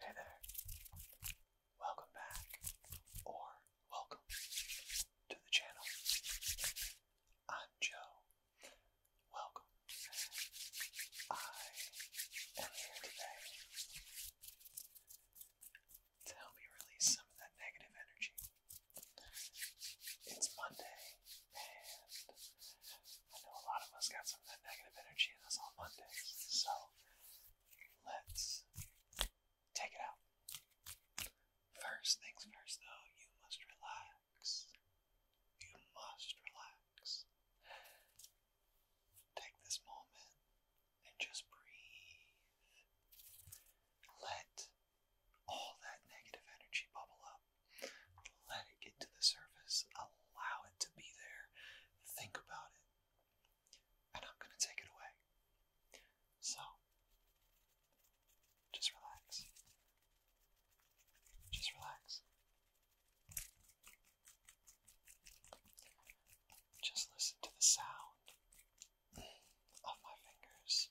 Hey there. Welcome back, or welcome to the channel. I'm Joe. Welcome. I am here today to help you release some of that negative energy. It's Monday, and I know a lot of us got some of that negative energy in us on Mondays, so let's take it out. First things first, though, you must relax. You must relax. Take this moment and just breathe. Let all that negative energy bubble up. Let it get to the surface. Allow it to be there. Think about it. And I'm going to take it away. So, just relax. Just relax. Just listen to the sound off my fingers.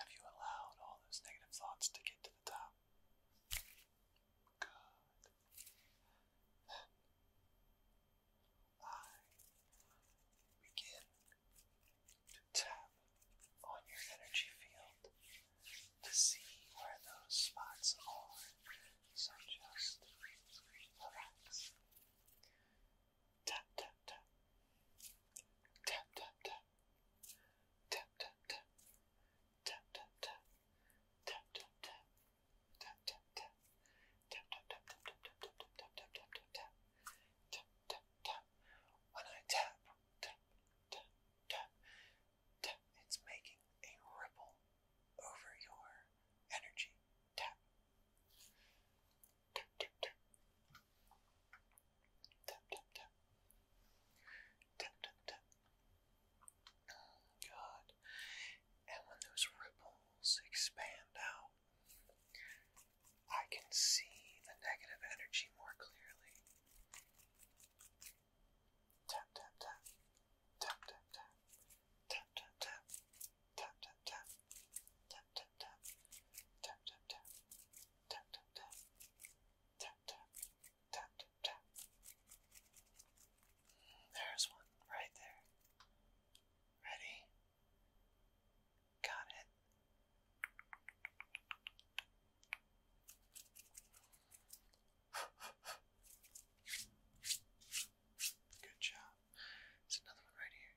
have you allowed all those negative thoughts to get to the top? Good. I begin to tap on your energy field to see where those spots are. So just relax tap tap tap tap tap tap tap tap tap tap tap tap tap tap tap tap tap tap when I tap, tap, tap, tap, tap, it's making a ripple over your energy. Tap, Tap, tap, tap. Tap, tap, tap. Tap, tap, tap. Oh, God. And when those ripples expand out, I can see the negative energy more clearly. Tap, tap, tap. Tap, tap, tap. Tap, tap, tap. Tap, tap, tap tap tap tap tap tap tap tap tap tap tap tap tap there's one right there ready got it Good job. There's another one right here.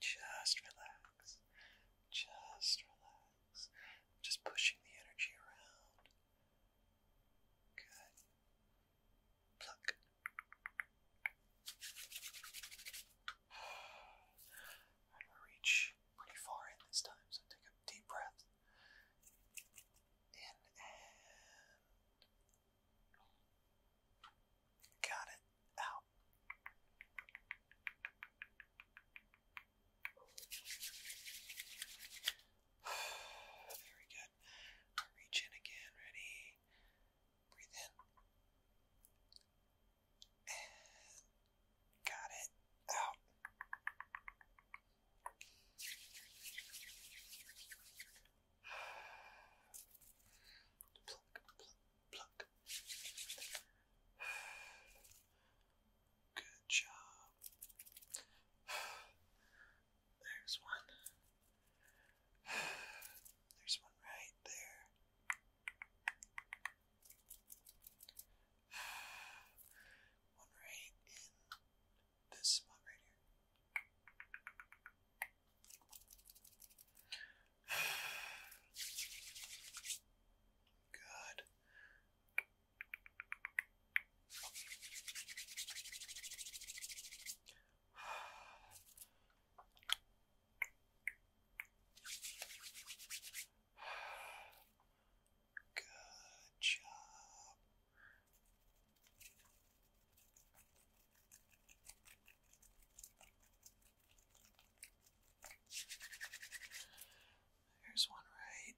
Just relax. Just relax. Just pushing the energy around. Good. Pluck. I'm gonna reach pretty far in this time, so take a deep breath. In and Got it out. Very good. reach in again. Ready? Breathe in. got it out. Pluck, pluck, pluck. Good job. There's one. There's one right there. One right in this spot right here. Good. Good job. There's one right,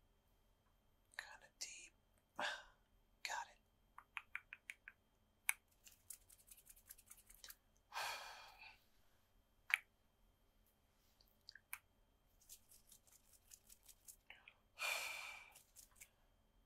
kind of deep. Got it.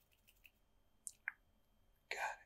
Got it.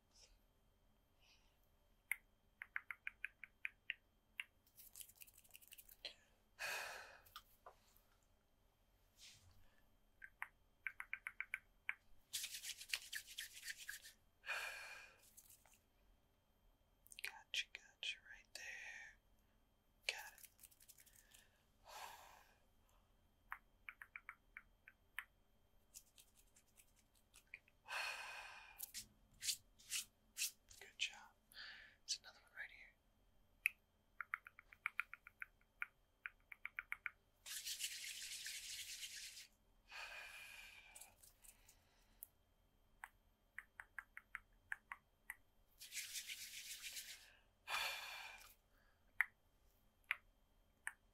Gotcha, gotcha, right there. Got it. Good job. There's another one right here.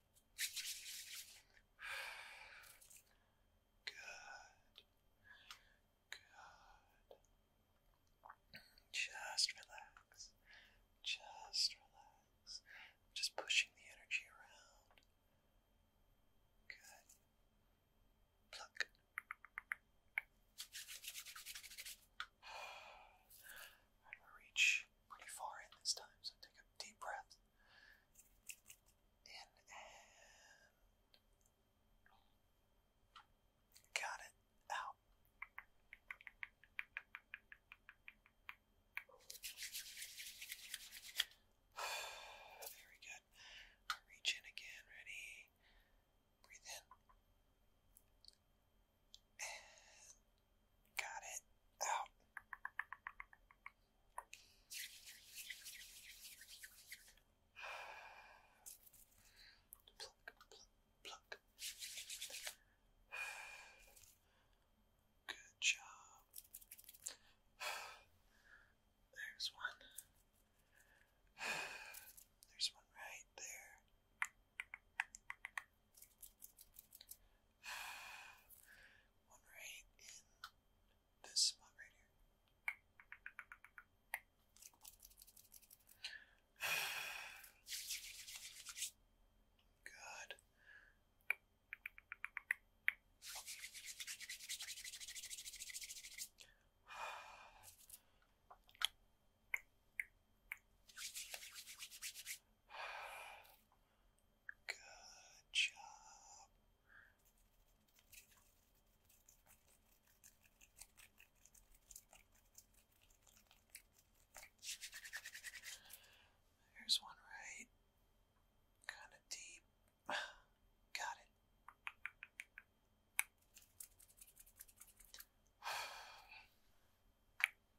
Good. Just relax. Just relax. just pushing the energy around. Good. Pluck. I'm gonna reach pretty far in this time, so take a deep breath in and got it out. Very good. reach in again. Ready? Breathe in. Got it out. Pluck, pluck, pluck. Good job. There's one. There's one right there. One right in this spot right here. Good. Good job. There's one right. Kind of deep. Got it.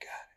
Got it.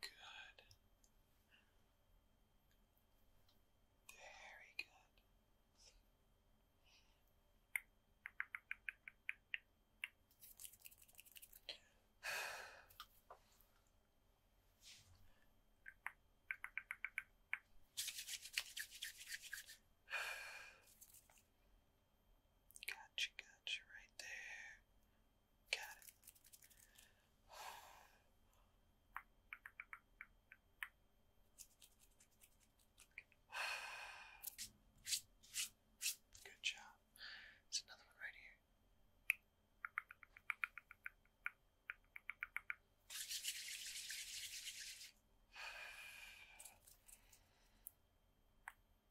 Good. Very good. Gotcha, gotcha, right there. Got Good job. There's another one right here.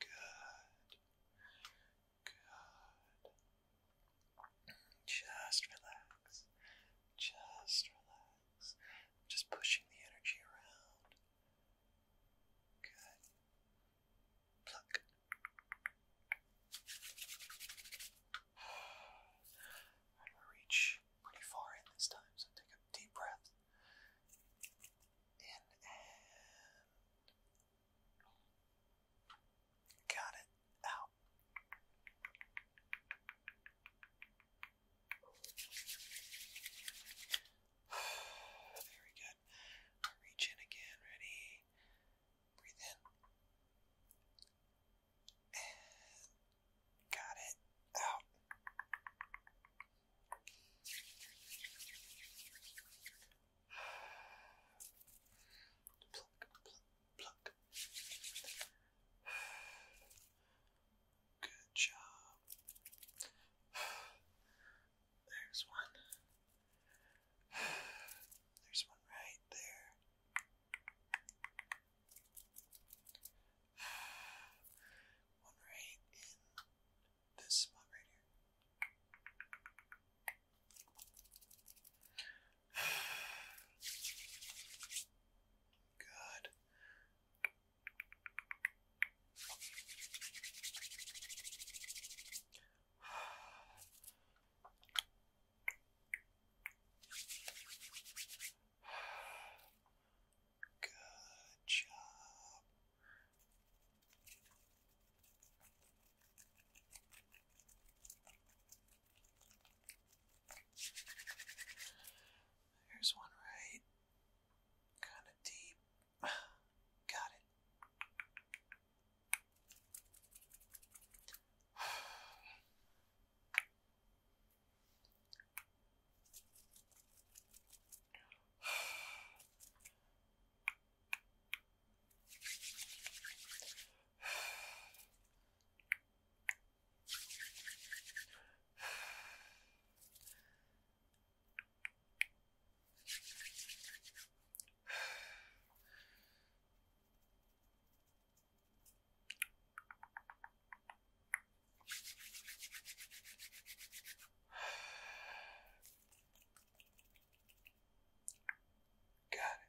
Good. Just relax. Just relax. just pushing the energy around. Good. Pluck. I'm gonna reach pretty far in this time, so take a deep breath in and got it out. Very good. I reach in again. Ready? Breathe in. got it out. Pluck, pluck, pluck. Good job. There's one. There's one right there. One right in this spot right here. Good. Good job. There's one right, kind of deep. Got it. Got it.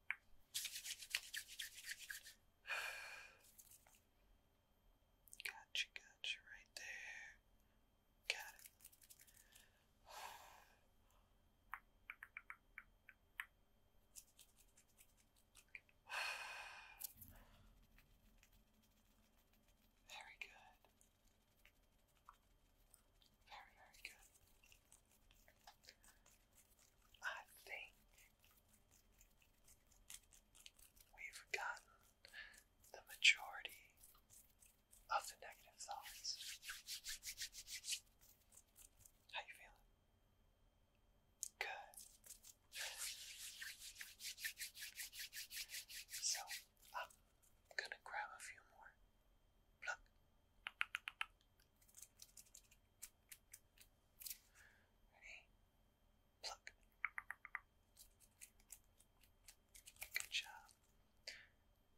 Gotcha, gotcha, right there. Got it. Very good. Very, very good. I think we've gotten the majority of the negative thoughts. How you feeling? Good. So I'm gonna grab a few more. Pluck. Ready? Pluck. Good job.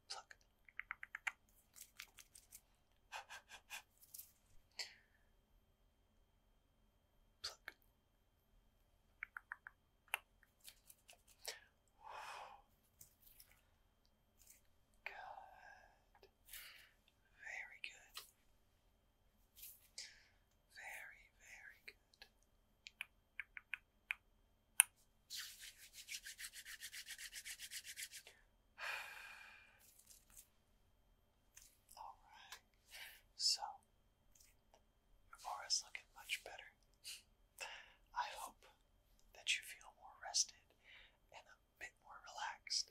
Pluck. Pluck. Good. Very good. Very, very good. All right. So, your aura's looking much better. I hope that you feel more rested and a bit more relaxed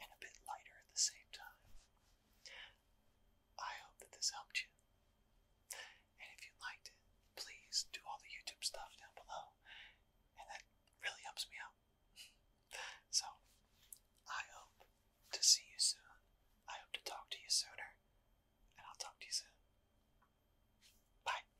and a bit lighter at the same time. I hope that this helped you. And if you liked it, please do all the YouTube stuff down below. And that really helps me out. so, I hope to see you soon. I hope to talk to you sooner. And I'll talk to you soon. Bye.